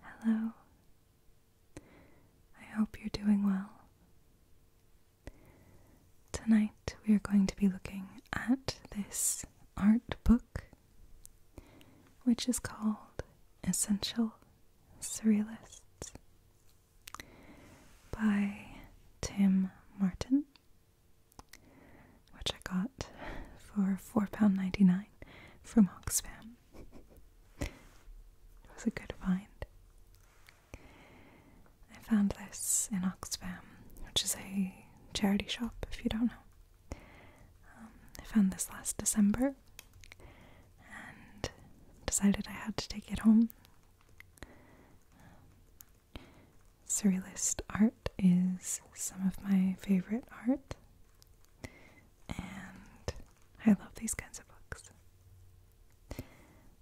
Hello. I hope you're doing well. Tonight we are going to be looking at this art book, which is called Essential Surrealists by Tim Martin, which I got for £4.99 from Oxfam. It was a good find. I found this in Oxfam, which is a charity shop if you don't know. Um, I found this last December and decided I had to take it home. Surrealist art is some of my favorite art. And I love these kinds of books.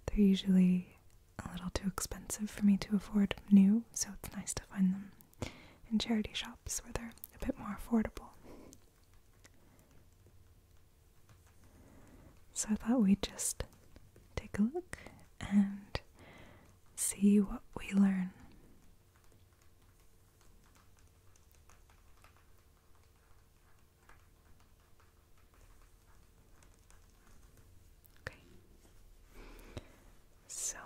They're usually a little too expensive for me to afford new, so it's nice to find them in charity shops where they're a bit more affordable. So I thought we'd just take a look and see what we learn Okay. So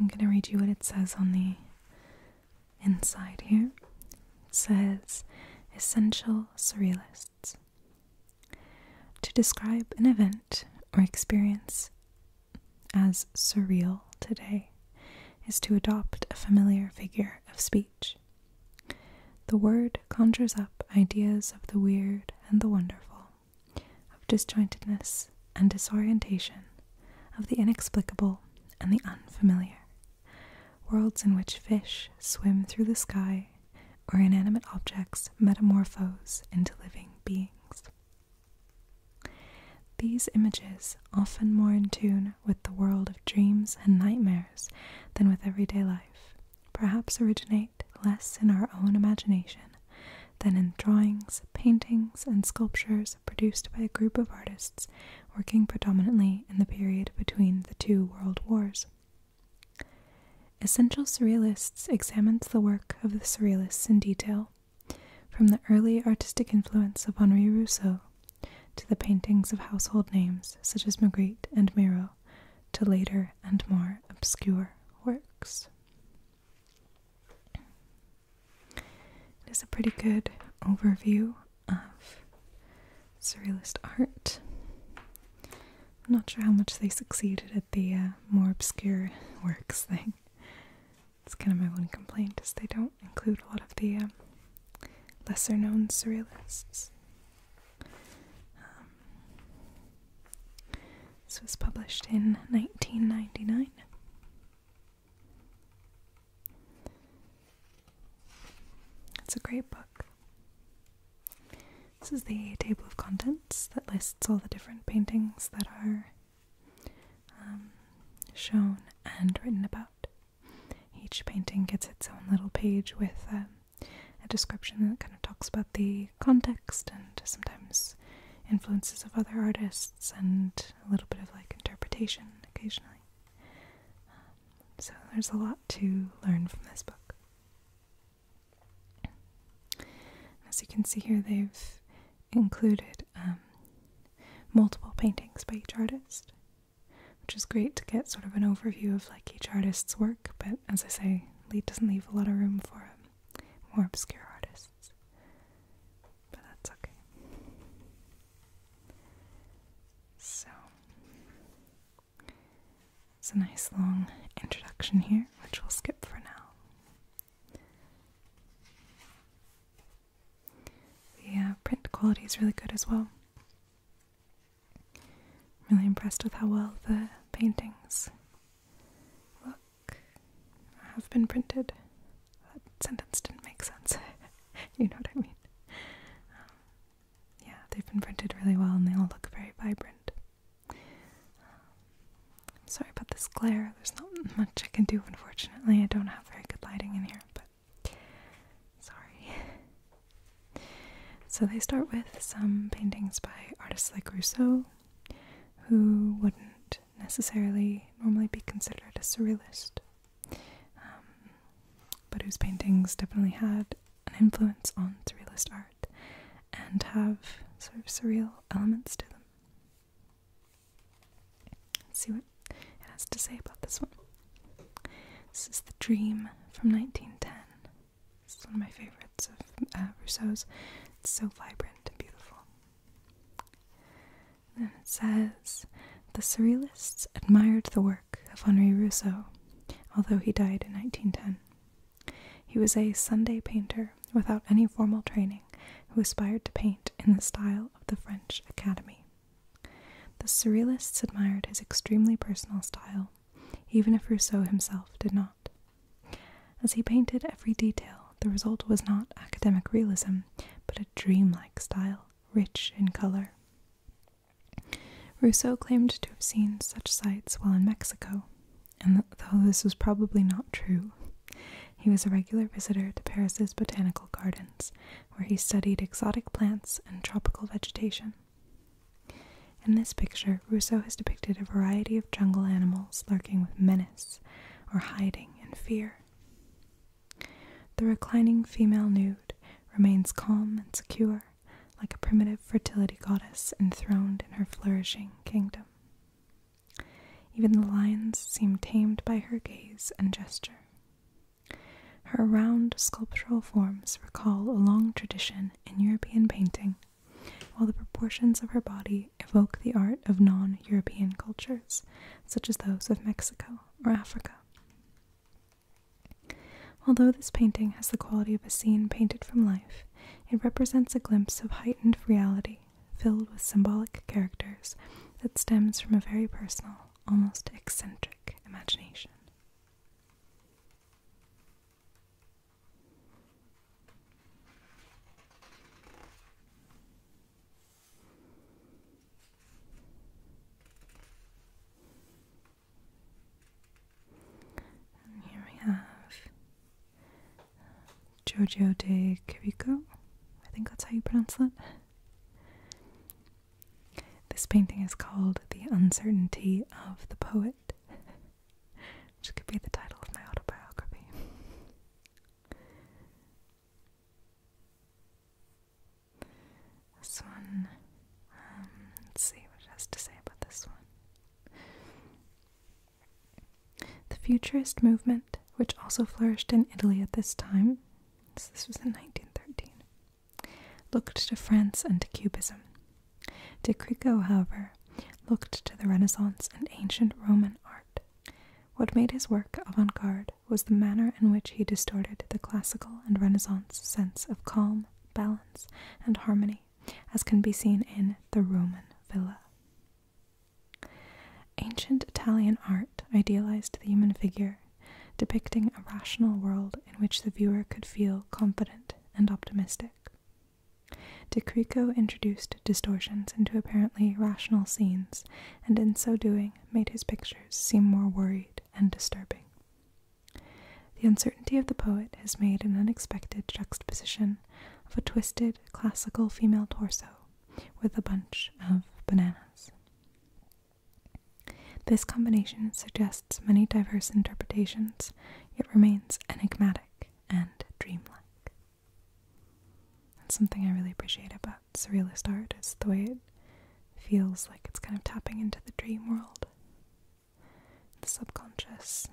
I'm going to read you what it says on the inside here. It says essential surrealists. To describe an event or experience as surreal today is to adopt a familiar figure of speech. The word conjures up ideas of the weird and the wonderful, of disjointedness and disorientation, of the inexplicable and the unfamiliar, worlds in which fish swim through the sky or inanimate objects metamorphose into living beings. These images, often more in tune with the world of dreams and nightmares than with everyday life, perhaps originate less in our own imagination than in drawings, paintings, and sculptures produced by a group of artists working predominantly in the period between the two world wars. Essential Surrealists examines the work of the Surrealists in detail from the early artistic influence of Henri Rousseau to the paintings of household names such as Magritte and Miro, to later and more obscure works. It is a pretty good overview of surrealist art. I'm not sure how much they succeeded at the uh, more obscure works thing. It's kind of my one complaint is they don't include a lot of the um, lesser known surrealists. Um, this was published in 1999. It's a great book. This is the table of contents that lists all the different paintings that are um, shown and written about. Each painting gets its own little page with um, a description that kind of talks about the context and sometimes influences of other artists and a little bit of like interpretation occasionally. Um, so there's a lot to learn from this book. As you can see here, they've included um, multiple paintings by each artist, which is great to get sort of an overview of like each artist's work. But as I say, Lee doesn't leave a lot of room for um, more obscure artists, but that's okay. So it's a nice long introduction here, which we'll skip for now. The print quality is really good as well. I'm really impressed with how well the paintings look. Have been printed. That sentence didn't make sense. you know what I mean. Um, yeah, they've been printed really well and they all look very vibrant. Um, I'm sorry about this glare. There's not much I can do, unfortunately. I don't have very good lighting in here, but sorry. So they start with some paintings by artists like Rousseau, who wouldn't necessarily normally be considered a surrealist, um, but whose paintings definitely had an influence on surrealist art and have sort of surreal elements to them. Let's see what it has to say about this one. This is The Dream from 1910. This is one of my favorites of uh, Rousseau's. It's so vibrant and beautiful. then it says The Surrealists admired the work of Henri Rousseau, although he died in 1910. He was a Sunday painter without any formal training, who aspired to paint in the style of the French Academy. The Surrealists admired his extremely personal style, even if Rousseau himself did not. As he painted every detail, the result was not academic realism, but a dreamlike style, rich in color. Rousseau claimed to have seen such sights while in Mexico, and though this was probably not true, he was a regular visitor to Paris's botanical gardens, where he studied exotic plants and tropical vegetation. In this picture, Rousseau has depicted a variety of jungle animals lurking with menace or hiding in fear. The reclining female nude remains calm and secure, like a primitive fertility goddess enthroned in her flourishing kingdom. Even the lions seem tamed by her gaze and gesture. Her round sculptural forms recall a long tradition in European painting, while the proportions of her body evoke the art of non European cultures, such as those of Mexico or Africa. Although this painting has the quality of a scene painted from life, it represents a glimpse of heightened reality filled with symbolic characters that stems from a very personal, almost eccentric imagination. here we have Giorgio de Chirico. I think that's how you pronounce that. This painting is called The Uncertainty of the Poet, which could be the title of my autobiography. This one, um, let's see what it has to say about this one. The Futurist movement, which also flourished in Italy at this time, this was in 1913, looked to France and to Cubism. De Crico, however, looked to the Renaissance and ancient Roman art. What made his work avant garde was the manner in which he distorted the classical and Renaissance sense of calm, balance, and harmony, as can be seen in The Roman Villa. Ancient Italian art idealized the human figure, depicting a rational world in which the viewer could feel confident and optimistic. De Crico introduced distortions into apparently rational scenes, and in so doing made his pictures seem more worried and disturbing. The uncertainty of the poet has made an unexpected juxtaposition of a twisted classical female torso with a bunch of bananas. This combination suggests many diverse interpretations, It remains enigmatic and dreamlike. something I really appreciate about surrealist art is the way it feels like it's kind of tapping into the dream world, the subconscious.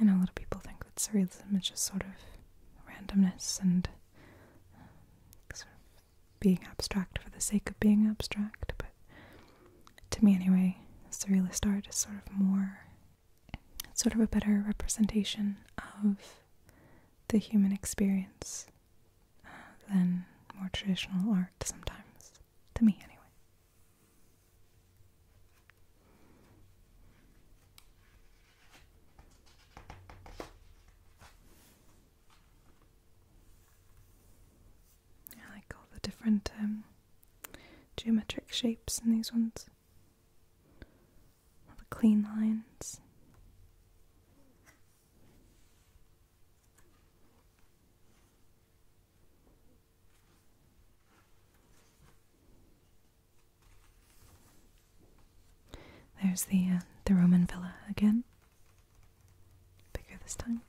I know a lot of people think that surrealism is just sort of randomness and um, sort of being abstract for the sake of being abstract, but to me anyway, surrealist art is sort of more, sort of a better representation of the human experience uh, than more traditional art sometimes, to me anyway. I like all the different um, geometric shapes in these ones. All the clean lines. There's the uh, the Roman villa again. Bigger this time.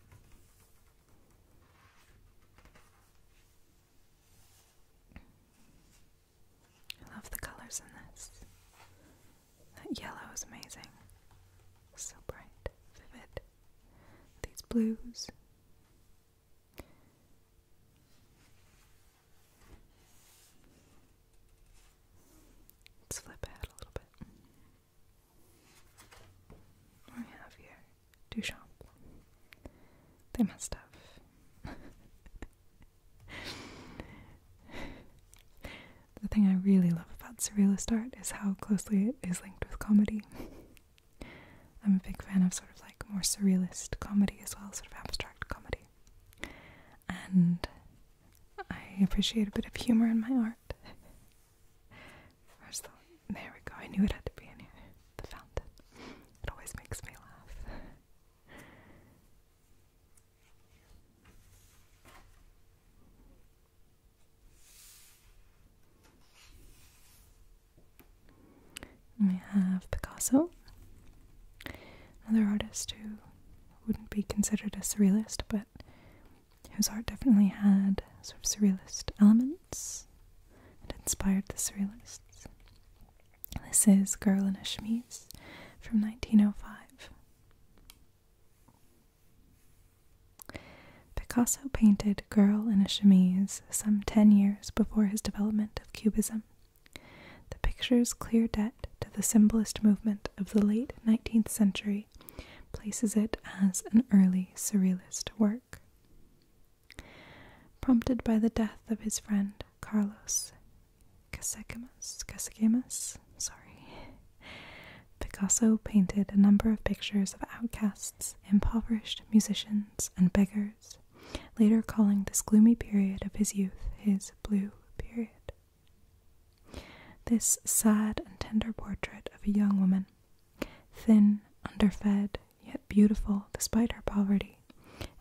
I love the colors in this. That yellow is amazing. So bright, vivid. These blues. Let's flip ahead a little bit. What do we have here? Duchamp. They must have. the thing I really love about surrealist art is how closely it is linked with comedy. I'm a big fan of sort of like more surrealist comedy as well, sort of abstract comedy and I appreciate a bit of humor in my art. there we go, I knew it had to be in here. The fountain. It always makes me laugh. And we have Picasso, another artist who wouldn't be considered a surrealist, but whose art definitely had sort of surrealist elements and inspired the surrealists. This is Girl in a Chemise from 1905. Picasso painted Girl in a Chemise some ten years before his development of Cubism. The picture's clear debt to the symbolist movement of the late 19th century places it as an early surrealist work. Prompted by the death of his friend Carlos Casagemas, sorry, Picasso painted a number of pictures of outcasts, impoverished musicians, and beggars later calling this gloomy period of his youth his Blue Period. This sad and tender portrait of a young woman, thin, underfed, yet beautiful despite her poverty,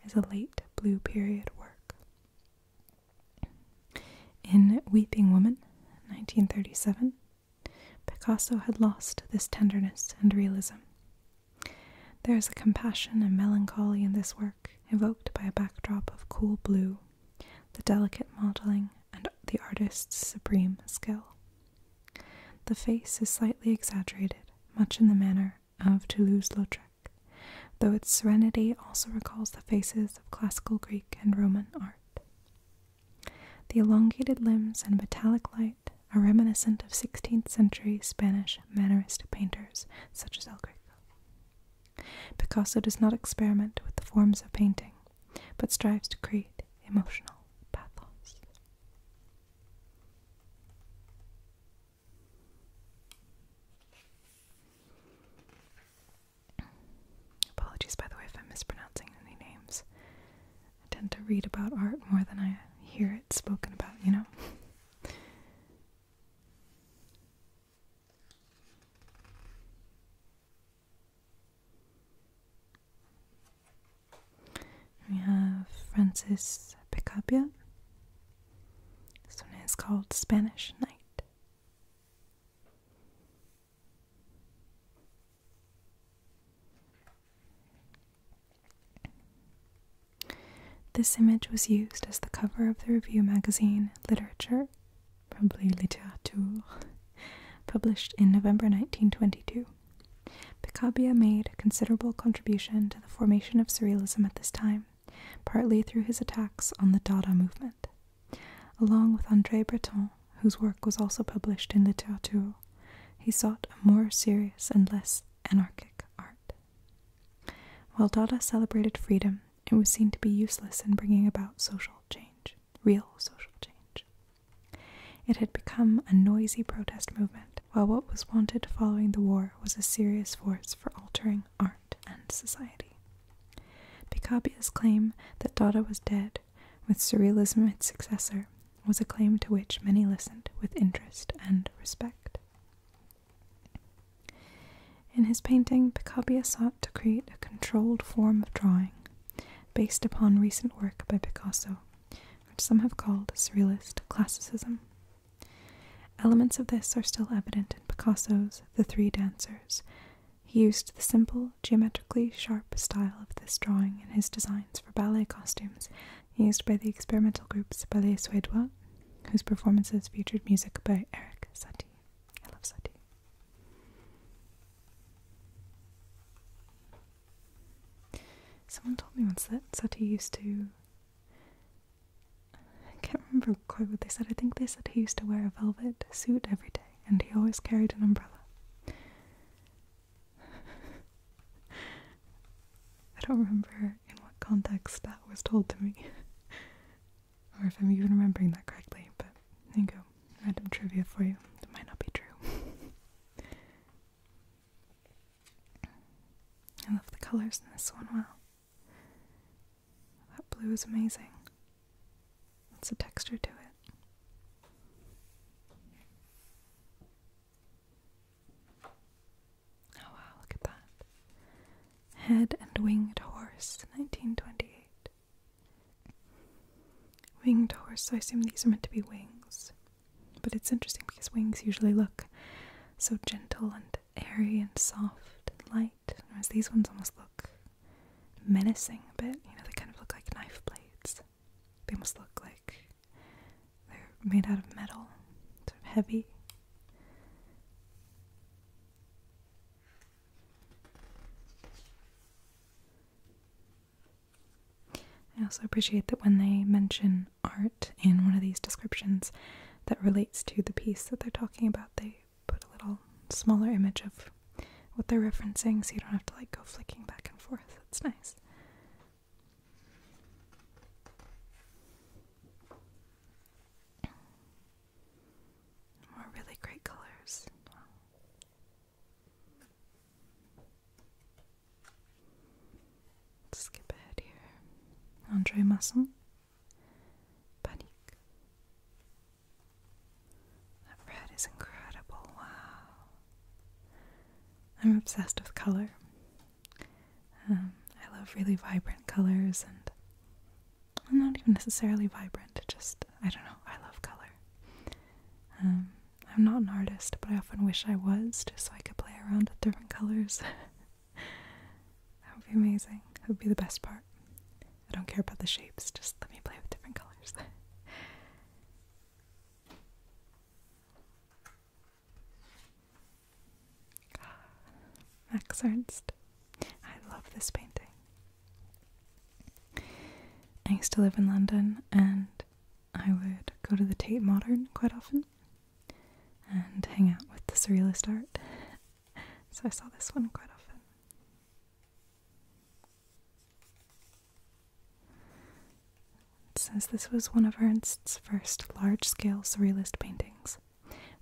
is a late Blue Period work. In Weeping Woman, 1937, Picasso had lost this tenderness and realism. There is a compassion and melancholy in this work, evoked by a backdrop of cool blue, the delicate modeling, and the artist's supreme skill. The face is slightly exaggerated, much in the manner of Toulouse-Lautrec, though its serenity also recalls the faces of classical Greek and Roman art. The elongated limbs and metallic light are reminiscent of 16th century Spanish Mannerist painters such as El Greco. Picasso does not experiment with the forms of painting, but strives to create emotional pathos. Apologies, by the way, if I'm mispronouncing any names. I tend to read about art more than I hear it spoken about, you know? We have Francis Picabia. This one is called Spanish Night. This image was used as the cover of the review magazine Literature, probably littérature, published in November 1922. Picabia made a considerable contribution to the formation of surrealism at this time, partly through his attacks on the Dada movement. Along with André Breton, whose work was also published in littérature, he sought a more serious and less anarchic art. While Dada celebrated freedom, it was seen to be useless in bringing about social change, real social change. It had become a noisy protest movement, while what was wanted following the war was a serious force for altering art and society. Picabia's claim that Dada was dead, with Surrealism its successor, was a claim to which many listened with interest and respect. In his painting, Picabia sought to create a controlled form of drawing based upon recent work by Picasso, which some have called Surrealist Classicism. Elements of this are still evident in Picasso's The Three Dancers. He used the simple, geometrically sharp style of this drawing in his designs for ballet costumes used by the experimental groups Ballet Suédois whose performances featured music by Eric Satie. I love Satie. Someone told me once that Satie used to. I can't remember quite what they said. I think they said he used to wear a velvet suit every day and he always carried an umbrella. I don't remember in what context that was told to me. or if I'm even remembering that correctly, but there you go. Random trivia for you that might not be true. I love the colors in this one. Wow. That blue is amazing. What's the texture to it? Oh wow, look at that. Head and Winged Horse, 1928. Winged Horse, so I assume these are meant to be wings. But it's interesting because wings usually look so gentle and airy and soft and light, whereas these ones almost look menacing a bit. You know, they kind of look like knife blades. They almost look like they're made out of metal, sort of heavy. I also appreciate that when they mention art in one of these descriptions that relates to the piece that they're talking about, they put a little smaller image of what they're referencing so you don't have to like go flicking back and forth. That's nice. More really great colors. Wow. Skip ahead here. Andre Masson. Panique. That red is incredible. Wow. I'm obsessed with color. Um, I love really vibrant colors and not even necessarily vibrant, just, I don't know, I love color. Um, I'm not an artist, but I often wish I was, just so I could play around with different colors. that would be amazing. That would be the best part. I don't care about the shapes, just let me play with different colors. Max Ernst. I love this painting. I used to live in London and I would go to the Tate Modern quite often and hang out with the surrealist art. So I saw this one quite often. Since this was one of Ernst's first large scale surrealist paintings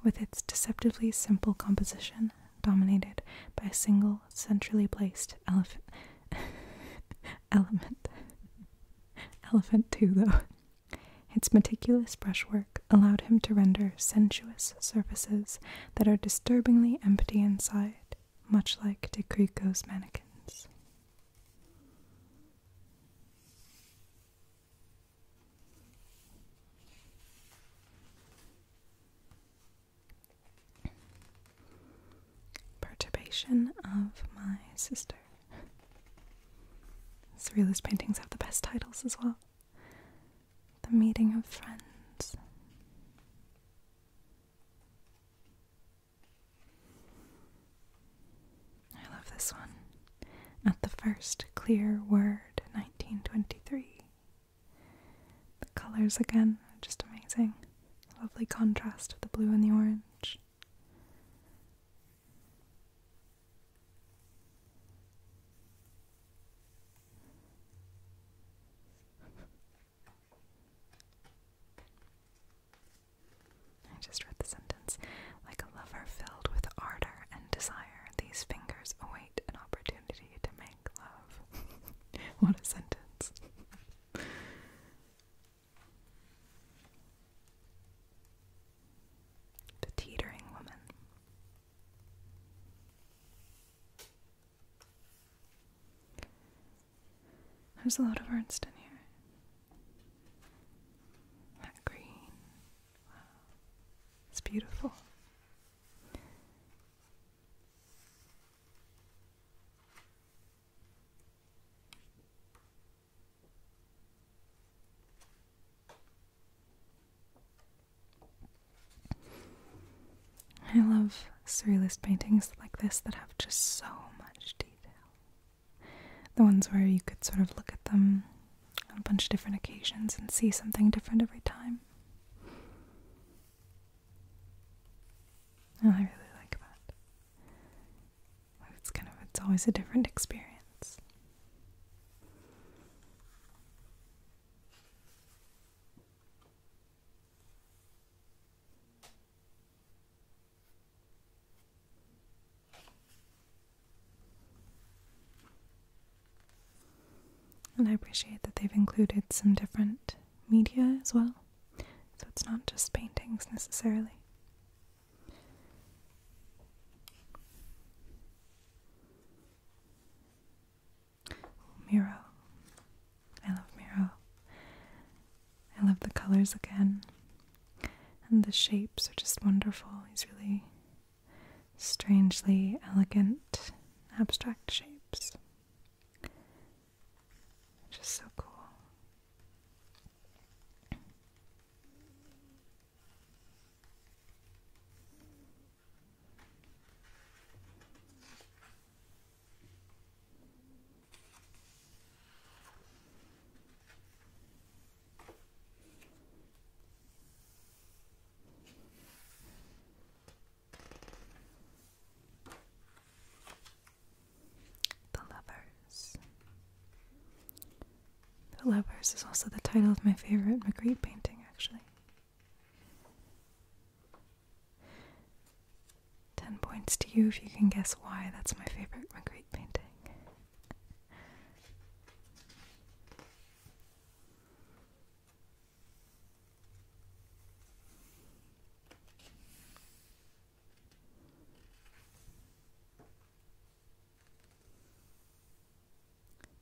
with its deceptively simple composition dominated by a single centrally placed elephant element. Elephant too, though. Its meticulous brushwork allowed him to render sensuous surfaces that are disturbingly empty inside, much like De Crico's mannequins. Perturbation of My Sister. Surrealist paintings have the best titles as well. The Meeting of Friends. I love this one at the first clear word, 1923. The colors again are just amazing. Lovely contrast of the blue and the orange. I just read the sentence like a lover filled with ardor and desire these fingers await an opportunity to make love. what a sentence. the teetering woman. There's a lot of Ernst in here. That green, it's beautiful. I love surrealist paintings like this that have just so much detail. The ones where you could sort of look at them on a bunch of different occasions and see something different every time. And I really like that. It's kind of, it's always a different experience. And I appreciate that they've included some different media as well, so it's not just paintings necessarily. Miro. I love Miro. I love the colors again. And the shapes are just wonderful. He's really strangely elegant abstract shapes. Just so cool. The Lovers. The Lovers is also the title of my favorite Magritte painting, actually. 10 points to you if you can guess why that's my favorite Magritte painting.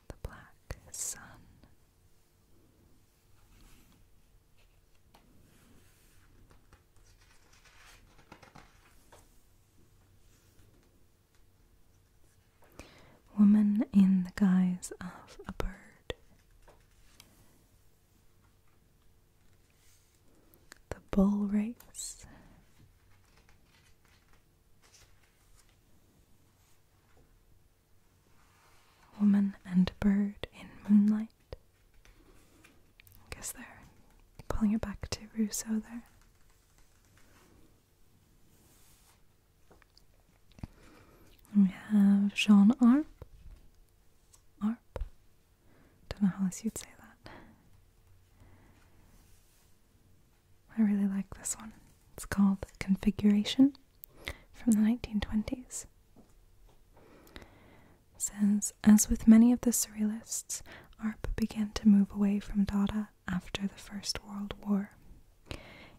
The Black Sun. Woman in the guise of a bird. The bull race. Woman and bird in moonlight. I guess they're pulling it back to Rousseau there. We have Jean Arp. Arp? Don't know how else you'd say that. I really like this one. It's called Configuration from the 1920s. It as with many of the surrealists, Arp began to move away from Dada after the First World War.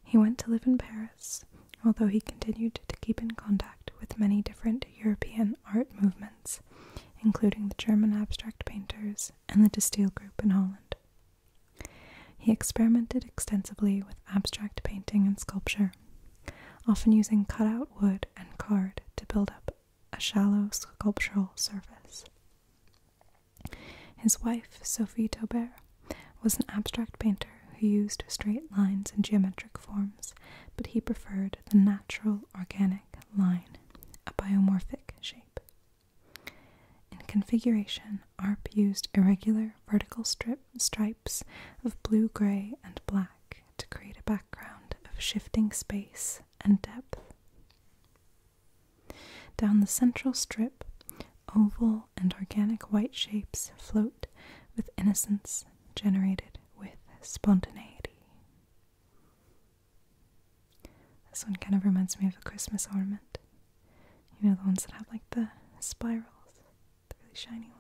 He went to live in Paris, although he continued to keep in contact with many different European art movements, including the German abstract painters and the De Stijl group in Holland. He experimented extensively with abstract painting and sculpture, often using cutout wood and card to build up a shallow sculptural surface. His wife, Sophie Taubert, was an abstract painter who used straight lines and geometric forms, but he preferred the natural organic line, a biomorphic shape. In configuration, ARP used irregular vertical strip stripes of blue, grey, and black to create a background of shifting space and depth. Down the central strip, Oval and organic white shapes float with innocence generated with spontaneity. This one kind of reminds me of a Christmas ornament. You know, the ones that have like the spirals, the really shiny ones.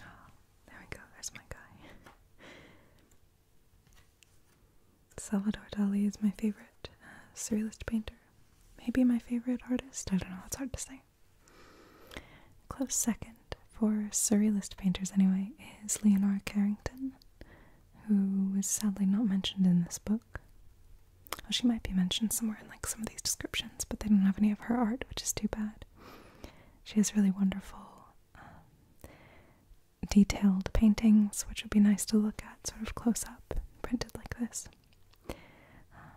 Oh, there we go, there's my guy. Salvador Dali is my favorite uh, surrealist painter. Maybe my favorite artist? I don't know, it's hard to say. Close second, for surrealist painters anyway, is Leonora Carrington, who is sadly not mentioned in this book. Well, she might be mentioned somewhere in like some of these descriptions, but they don't have any of her art, which is too bad. She has really wonderful, um, detailed paintings, which would be nice to look at, sort of close up, printed like this. Um,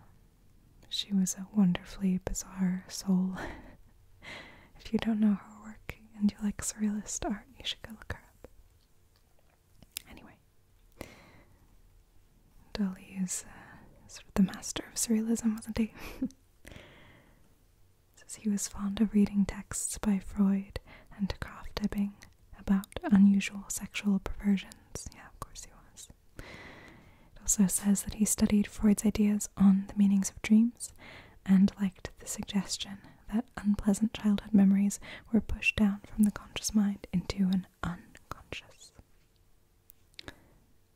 she was a wonderfully bizarre soul. if you don't know her work and you like surrealist art, you should go look her up. Anyway, Dali is uh, sort of the master of surrealism, wasn't he? Says he was fond of reading texts by Freud and Krafft Ebing, about unusual sexual perversions. Yeah, of course he was. It also says that he studied Freud's ideas on the meanings of dreams and liked the suggestion that unpleasant childhood memories were pushed down from the conscious mind into an unconscious.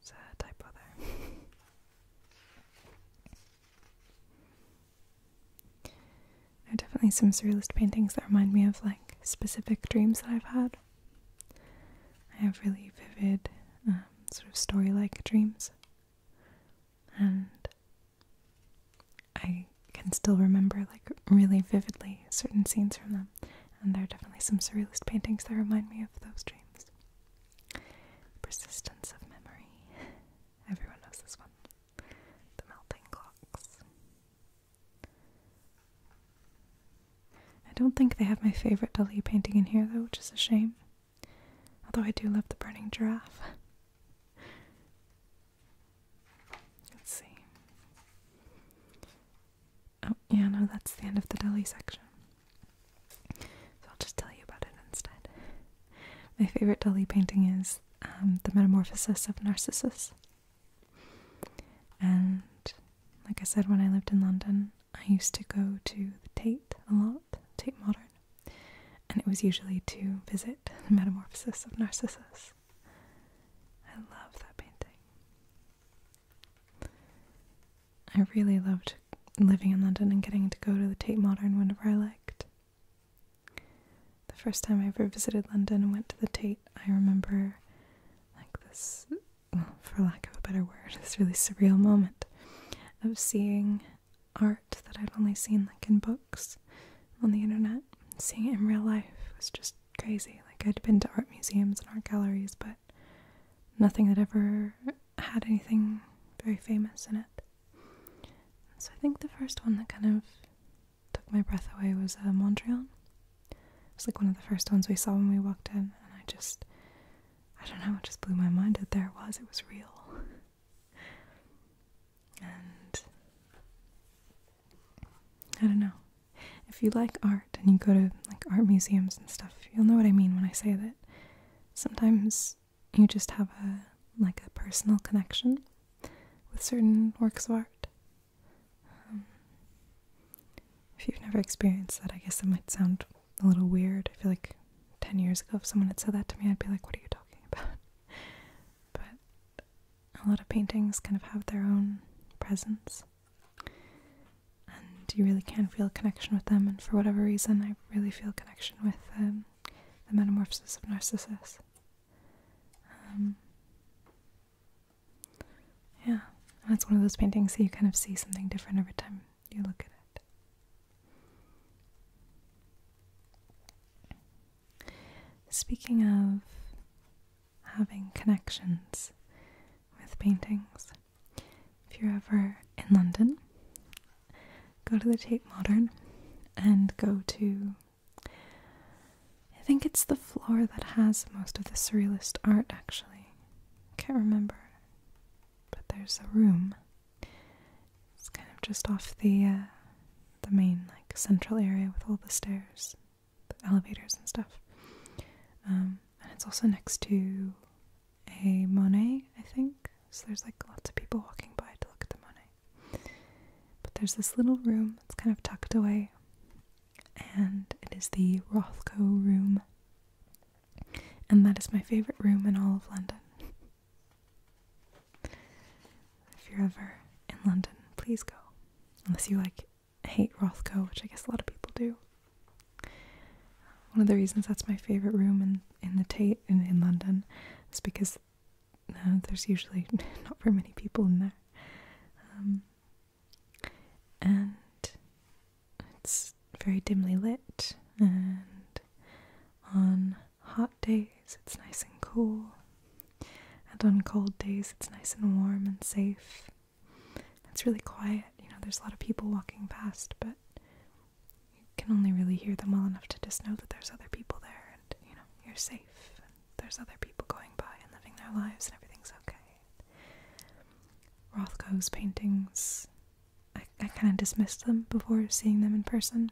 It's a typo there. There are definitely some surrealist paintings that remind me of like specific dreams that I've had. I have really vivid, um, sort of story like dreams. And I can still remember, like, really vividly certain scenes from them. And there are definitely some surrealist paintings that remind me of those dreams. Persistence of memory. Everyone knows this one. The melting clocks. I don't think they have my favorite Dali painting in here, though, which is a shame. Although I do love the burning giraffe. Let's see. Oh, yeah, no, that's the end of the Dali section. So I'll just tell you about it instead. My favorite Dali painting is um, The Metamorphosis of Narcissus. And like I said, when I lived in London, I used to go to the Tate a lot, Tate Modern, and it was usually to visit the Metamorphosis of Narcissus. I love that painting. I really loved living in London and getting to go to the Tate Modern whenever I liked. The first time I ever visited London and went to the Tate, I remember like this, for lack of a better word, this really surreal moment of seeing art that I'd only seen like in books on the internet. Seeing it in real life was just crazy. Like I'd been to art museums and art galleries, but nothing that ever had anything very famous in it. So I think the first one that kind of took my breath away was uh, Montreal. It was like one of the first ones we saw when we walked in, and I just, I don't know, it just blew my mind that there it was. It was real. and I don't know. If you like art and you go to like art museums and stuff, you'll know what I mean when I say that. Sometimes you just have a like a personal connection with certain works of art um, if you've never experienced that, I guess it might sound a little weird. I feel like 10 years ago, if someone had said that to me, I'd be like, what are you talking about? But a lot of paintings kind of have their own presence. And you really can feel a connection with them. And for whatever reason, I really feel connection with um, the metamorphosis of Narcissus. Um, yeah, that's one of those paintings that you kind of see something different every time you look at it. Speaking of having connections with paintings, if you're ever in London, go to the Tate Modern and go to I think it's the floor that has most of the surrealist art, actually. I can't remember. But there's a room. It's kind of just off the uh, the main like central area with all the stairs, the elevators and stuff. Um, and it's also next to a Monet, I think. So there's like lots of people walking by to look at the Monet. But there's this little room that's kind of tucked away and it is the Rothko room. And that is my favorite room in all of London. If you're ever in London, please go. Unless you like hate Rothko, which I guess a lot of people do. One of the reasons that's my favorite room in, in the Tate in, in London is because uh, there's usually not very many people in there. Um, and it's very dimly lit and on hot days it's nice and cool and on cold days it's nice and warm and safe it's really quiet you know there's a lot of people walking past but you can only really hear them well enough to just know that there's other people there and you know you're safe and there's other people going by and living their lives and everything's okay Rothko's paintings, I, kind of dismissed them before seeing them in person.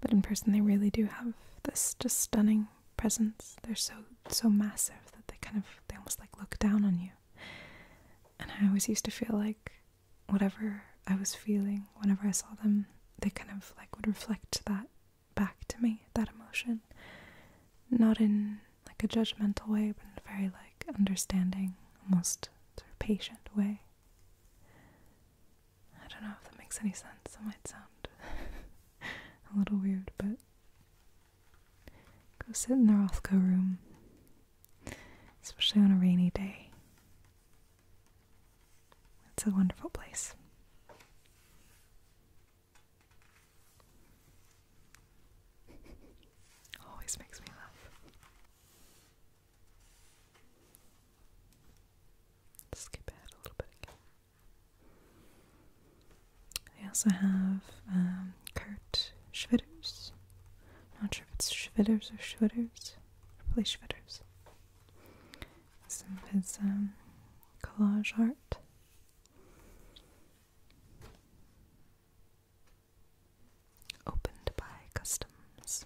But in person, they really do have this just stunning presence. They're so so massive that they kind of they almost like look down on you. And I always used to feel like whatever I was feeling whenever I saw them, they kind of like would reflect that back to me that emotion not in like a judgmental way but in a very like understanding almost patient way i don't know if that makes any sense it might sound a little weird but go sit in the rothko room especially on a rainy day it's a wonderful place Always makes me laugh. Skip ahead a little bit again. I also have um, Kurt Schwitters. Not sure if it's Schwitters or Schwitters. Probably Schwitters. Some of his um, collage art. Opened by customs. There's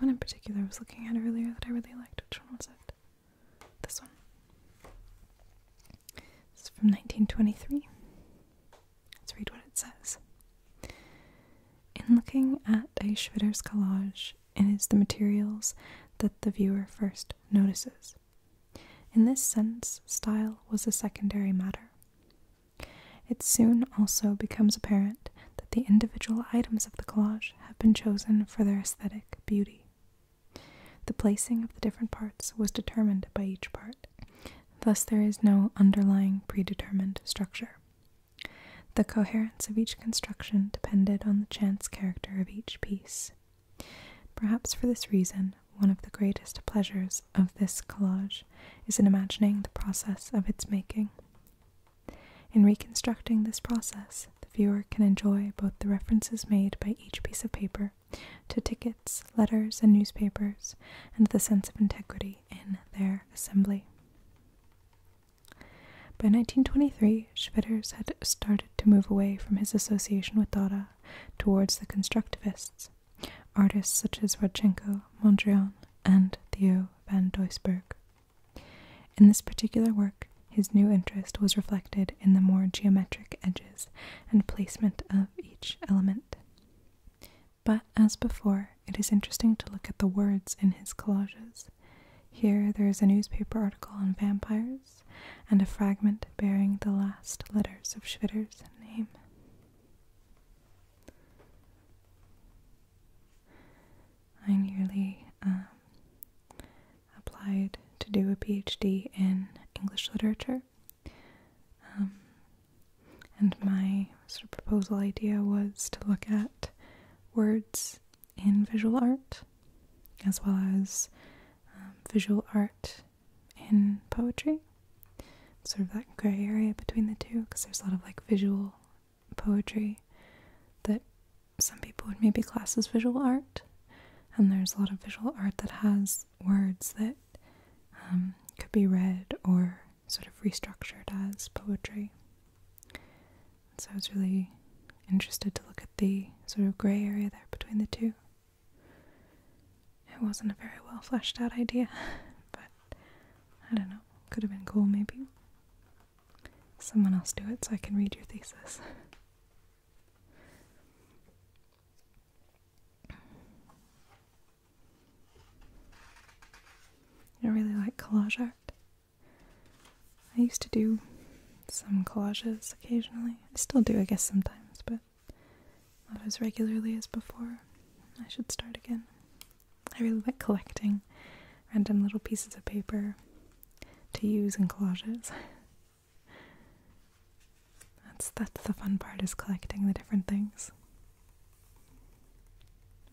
one in particular I was looking at earlier that I really liked. Which one was it? This one. It's from 1923. Let's read what it says. In looking at a Schwitter's collage, and is the materials that the viewer first notices. In this sense, style was a secondary matter. It soon also becomes apparent that the individual items of the collage have been chosen for their aesthetic beauty. The placing of the different parts was determined by each part, thus, there is no underlying predetermined structure. The coherence of each construction depended on the chance character of each piece. Perhaps for this reason, one of the greatest pleasures of this collage is in imagining the process of its making. In reconstructing this process, the viewer can enjoy both the references made by each piece of paper to tickets, letters, and newspapers, and the sense of integrity in their assembly. By 1923, Schwitters had started to move away from his association with Dada towards the constructivists, artists such as Rodchenko, Mondrian, and Theo van Doesburg. In this particular work, his new interest was reflected in the more geometric edges and placement of each element. But as before, it is interesting to look at the words in his collages. Here there is a newspaper article on vampires and a fragment bearing the last letters of Schwitter's name. I nearly um, applied to do a PhD in English literature. Um, and my sort of proposal idea was to look at words in visual art, as well as um, visual art in poetry. Sort of that gray area between the two, because there's a lot of like visual poetry that some people would maybe class as visual art, and there's a lot of visual art that has words that um, could be read or sort of restructured as poetry. So I was really interested to look at the sort of gray area there between the two. It wasn't a very well fleshed out idea, but I don't know. Could have been cool, maybe. Someone else do it so I can read your thesis. I really like collage art. I used to do some collages occasionally. I still do, I guess, sometimes, but not as regularly as before. I should start again. I really like collecting random little pieces of paper to use in collages. that's that's the fun part is collecting the different things.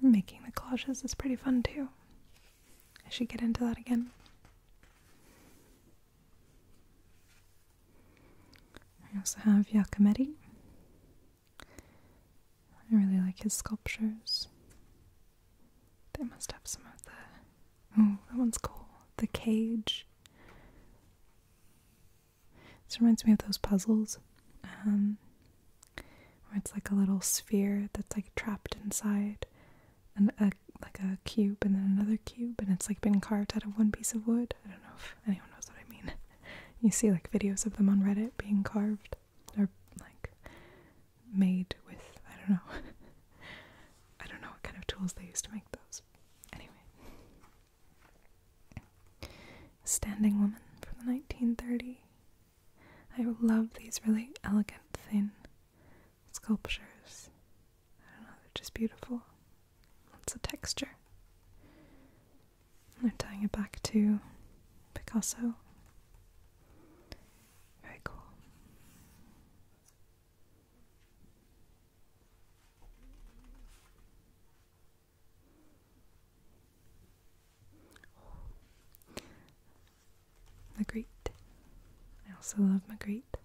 Making the collages is pretty fun too. I should get into that again. I also have Giacometti. I really like his sculptures. They must have some of the. Oh, that one's cool. The cage. This reminds me of those puzzles. Um, it's like a little sphere that's like trapped inside and a like a cube and then another cube and it's like been carved out of one piece of wood. I don't know if anyone knows what I mean. You see like videos of them on Reddit being carved or like made with I don't know. I don't know what kind of tools they used to make those. Anyway. Standing woman from the 1930. I love these really elegant thin sculptures. I don't know, they're just beautiful. Lots of texture. They're tying it back to Picasso. Very cool. Magritte. I also love Magritte.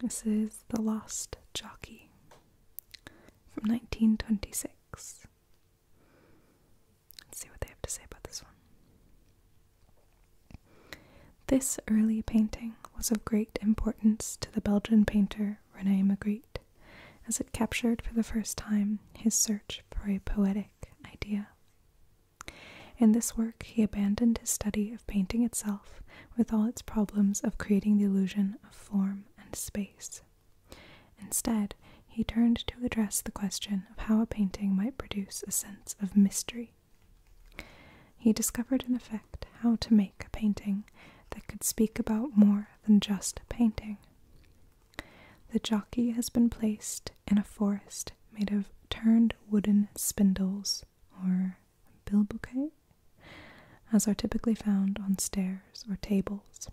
This is The Lost Jockey from 1926. Let's see what they have to say about this one. This early painting was of great importance to the Belgian painter Rene Magritte, as it captured for the first time his search for a poetic idea. In this work, he abandoned his study of painting itself with all its problems of creating the illusion of form and space. Instead, he turned to address the question of how a painting might produce a sense of mystery. He discovered, in effect, how to make a painting that could speak about more than just painting. The jockey has been placed in a forest made of turned wooden spindles or bilboquet, as are typically found on stairs or tables.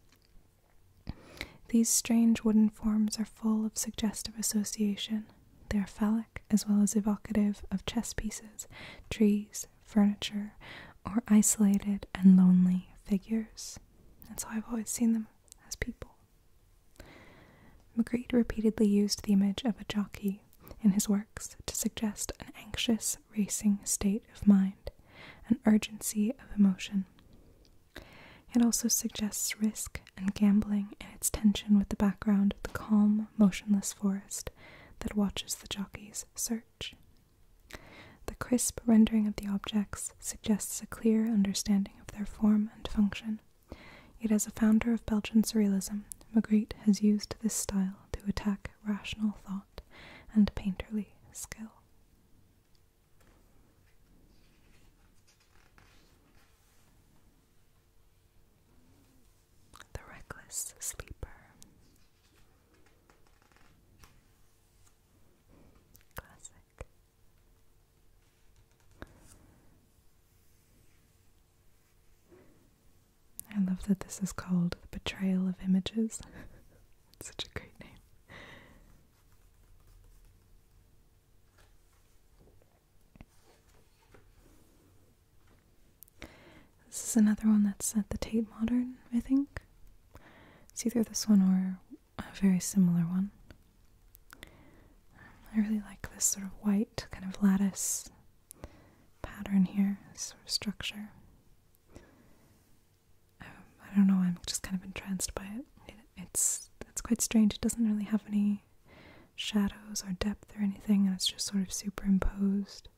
These strange wooden forms are full of suggestive association. They are phallic as well as evocative of chess pieces, trees, furniture, or isolated and lonely figures. That's how I've always seen them as people. Magritte repeatedly used the image of a jockey in his works to suggest an anxious, racing state of mind, an urgency of emotion. It also suggests risk and gambling in its tension with the background of the calm, motionless forest that watches the jockey's search. The crisp rendering of the objects suggests a clear understanding of their form and function, Yet, as a founder of Belgian surrealism, Magritte has used this style to attack rational thought and painterly skill. The Reckless Sleeper. Classic. I love that this is called The Betrayal of Images. it's such a great name. This is another one that's at the Tate Modern, I think. It's either this one or a very similar one. I really like this sort of white kind of lattice pattern here, sort of structure. Um, I don't know, I'm just kind of entranced by it. it. It's it's quite strange. It doesn't really have any shadows or depth or anything, and it's just sort of superimposed.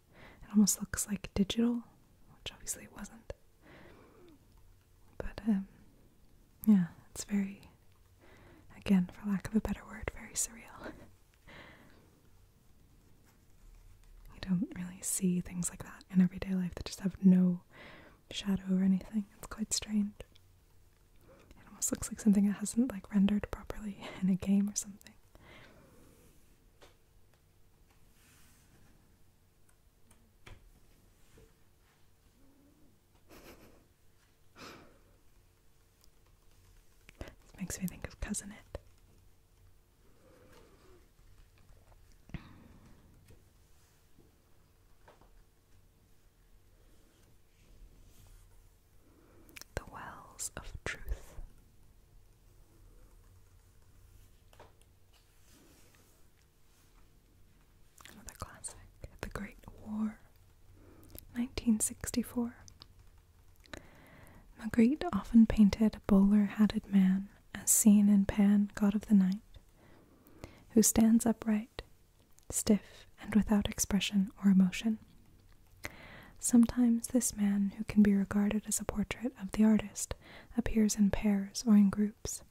It almost looks like digital, which obviously it wasn't. But um, yeah, it's very, again, for lack of a better word, very surreal. you don't really see things like that in everyday life that just have no shadow or anything. It's quite strange. It almost looks like something that hasn't like rendered properly in a game or something this makes me think of Cousin It. The Wells of Truth. Another classic, The Great War, 1964. Magritte often painted a bowler-hatted man, as seen in Pan, God of the Night, who stands upright, stiff, and without expression or emotion. Sometimes this man, who can be regarded as a portrait of the artist, appears in pairs or in groups,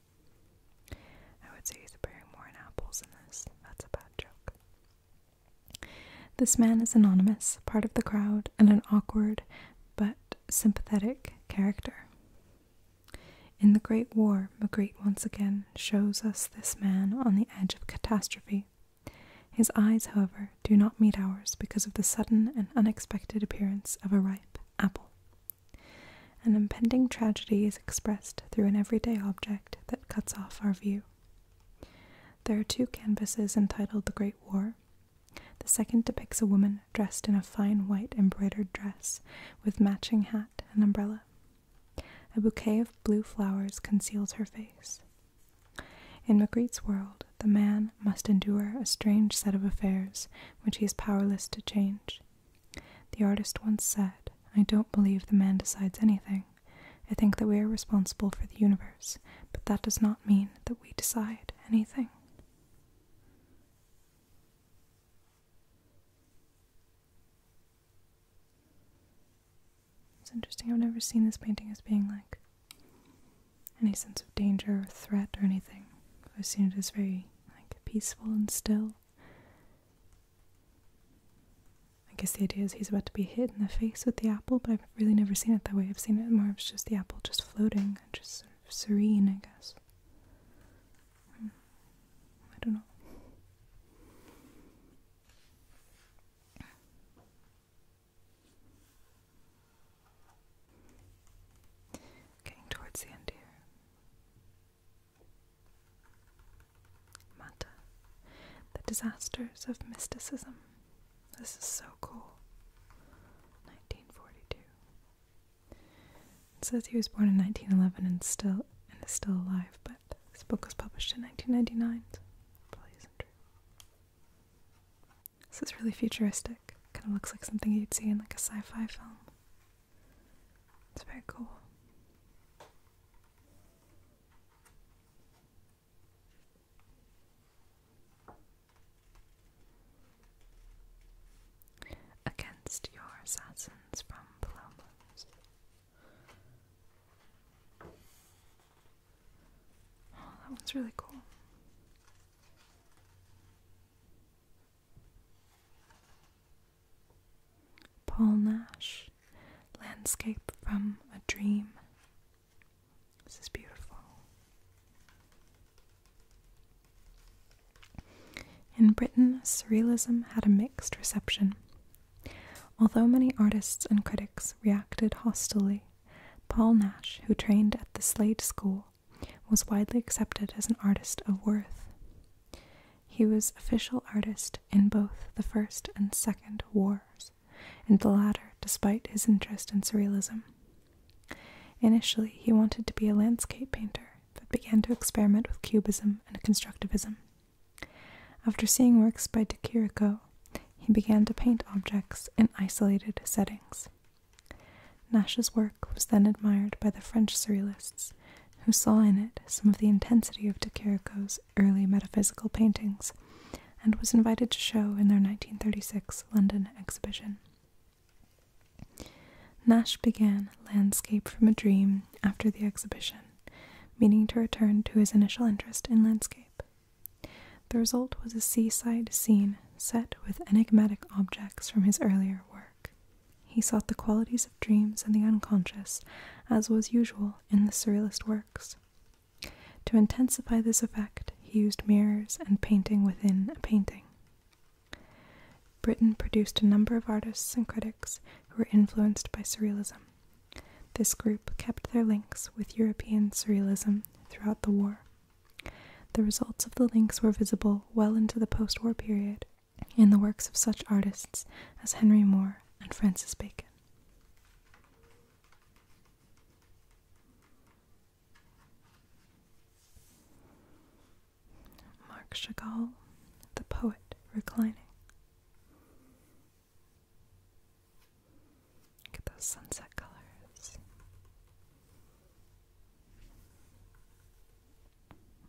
I would say he's bearing more apples than this. That's a bad joke. This man is anonymous, part of the crowd, and an awkward but sympathetic character. In the Great War, Magritte once again shows us this man on the edge of catastrophe. His eyes, however, do not meet ours because of the sudden and unexpected appearance of a ripe apple. An impending tragedy is expressed through an everyday object that cuts off our view. There are two canvases entitled The Great War. The second depicts a woman dressed in a fine white embroidered dress with matching hat and umbrella. A bouquet of blue flowers conceals her face. In Magritte's world, the man must endure a strange set of affairs which he is powerless to change. The artist once said, I don't believe the man decides anything. I think that we are responsible for the universe, but that does not mean that we decide anything. It's interesting, I've never seen this painting as being like any sense of danger or threat or anything. I've seen it as very like peaceful and still. I guess the idea is he's about to be hit in the face with the apple, but I've really never seen it that way. I've seen it more it's just the apple just floating and just serene, I guess. Hmm. I don't know. Getting towards the end here. Mata. The Disasters of Mysticism. This is so cool. 1942. It says he was born in 1911 and still and is still alive, but this book was published in 1999, probably isn't true. This is really futuristic. Kind of looks like something you'd see in like a sci-fi film. It's very cool. Against your assassins from Palomos. Oh, that one's really cool. Paul Nash, Landscape from a Dream. This is beautiful. In Britain, Surrealism had a mixed reception. Although many artists and critics reacted hostilely, Paul Nash, who trained at the Slade School, was widely accepted as an artist of worth. He was official artist in both the First and Second Wars, and the latter despite his interest in surrealism. Initially, he wanted to be a landscape painter, but began to experiment with cubism and constructivism. After seeing works by de Chirico, he began to paint objects in isolated settings. Nash's work was then admired by the French surrealists, who saw in it some of the intensity of de Chirico's early metaphysical paintings and was invited to show in their 1936 London exhibition. Nash began Landscape from a Dream after the exhibition, meaning to return to his initial interest in landscape. The result was a seaside scene set with enigmatic objects from his earlier work. He sought the qualities of dreams and the unconscious, as was usual in the Surrealist works. To intensify this effect, he used mirrors and painting within a painting. Britain produced a number of artists and critics who were influenced by Surrealism. This group kept their links with European Surrealism throughout the war. The results of the links were visible well into the post war period in the works of such artists as Henry Moore and Francis Bacon. Marc Chagall, the poet reclining. Look those sunset colors.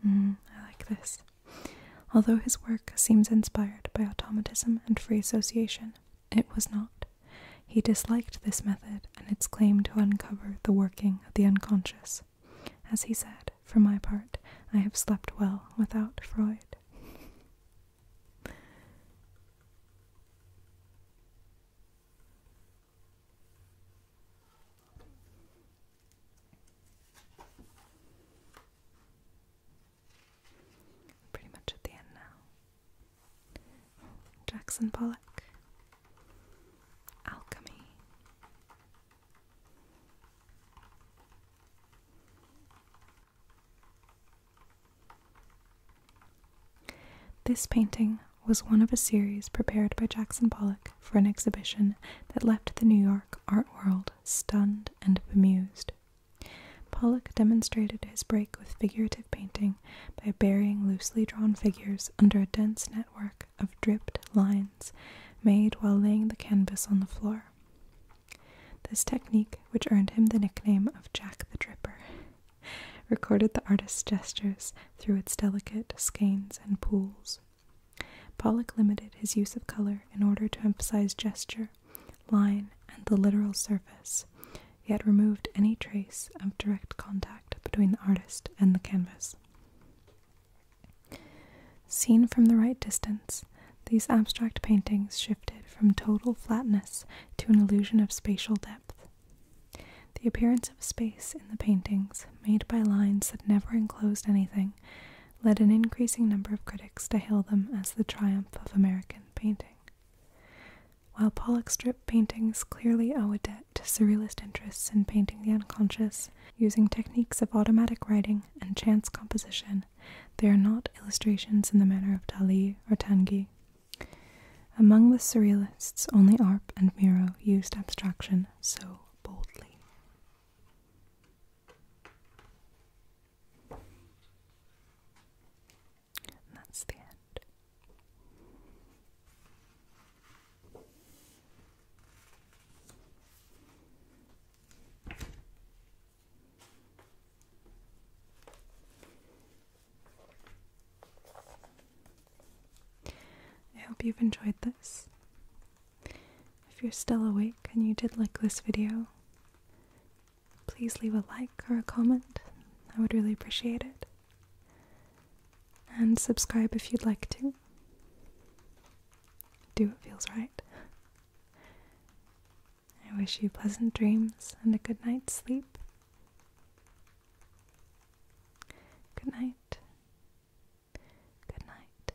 Mm, I like this. Although his work seems inspired by automatism and free association, it was not. He disliked this method and its claim to uncover the working of the unconscious. As he said, for my part, I have slept well without Freud. Pretty much at the end now. Jackson Pollock. Alchemy. This painting was one of a series prepared by Jackson Pollock for an exhibition that left the New York art world stunned and bemused. Pollock demonstrated his break with figurative painting by burying loosely drawn figures under a dense network of dripped lines made while laying the canvas on the floor. This technique, which earned him the nickname of Jack the Dripper, recorded the artist's gestures through its delicate skeins and pools. Pollock limited his use of color in order to emphasize gesture line, and the literal surface, yet removed any trace of direct contact between the artist and the canvas. Seen from the right distance, these abstract paintings shifted from total flatness to an illusion of spatial depth. The appearance of space in the paintings, made by lines that never enclosed anything, led an increasing number of critics to hail them as the triumph of American painting. While Pollock's drip paintings clearly owe a debt to surrealist interests in painting the unconscious, using techniques of automatic writing and chance composition, they are not illustrations in the manner of Dali or Tanguy. Among the surrealists, only Arp and Miro used abstraction so boldly that's the end. I hope you've enjoyed this. If you're still awake and you did like this video, please leave a like or a comment. I would really appreciate it. And subscribe if you'd like to. Do what feels right. I wish you pleasant dreams and a good night's sleep. Good night. Good night.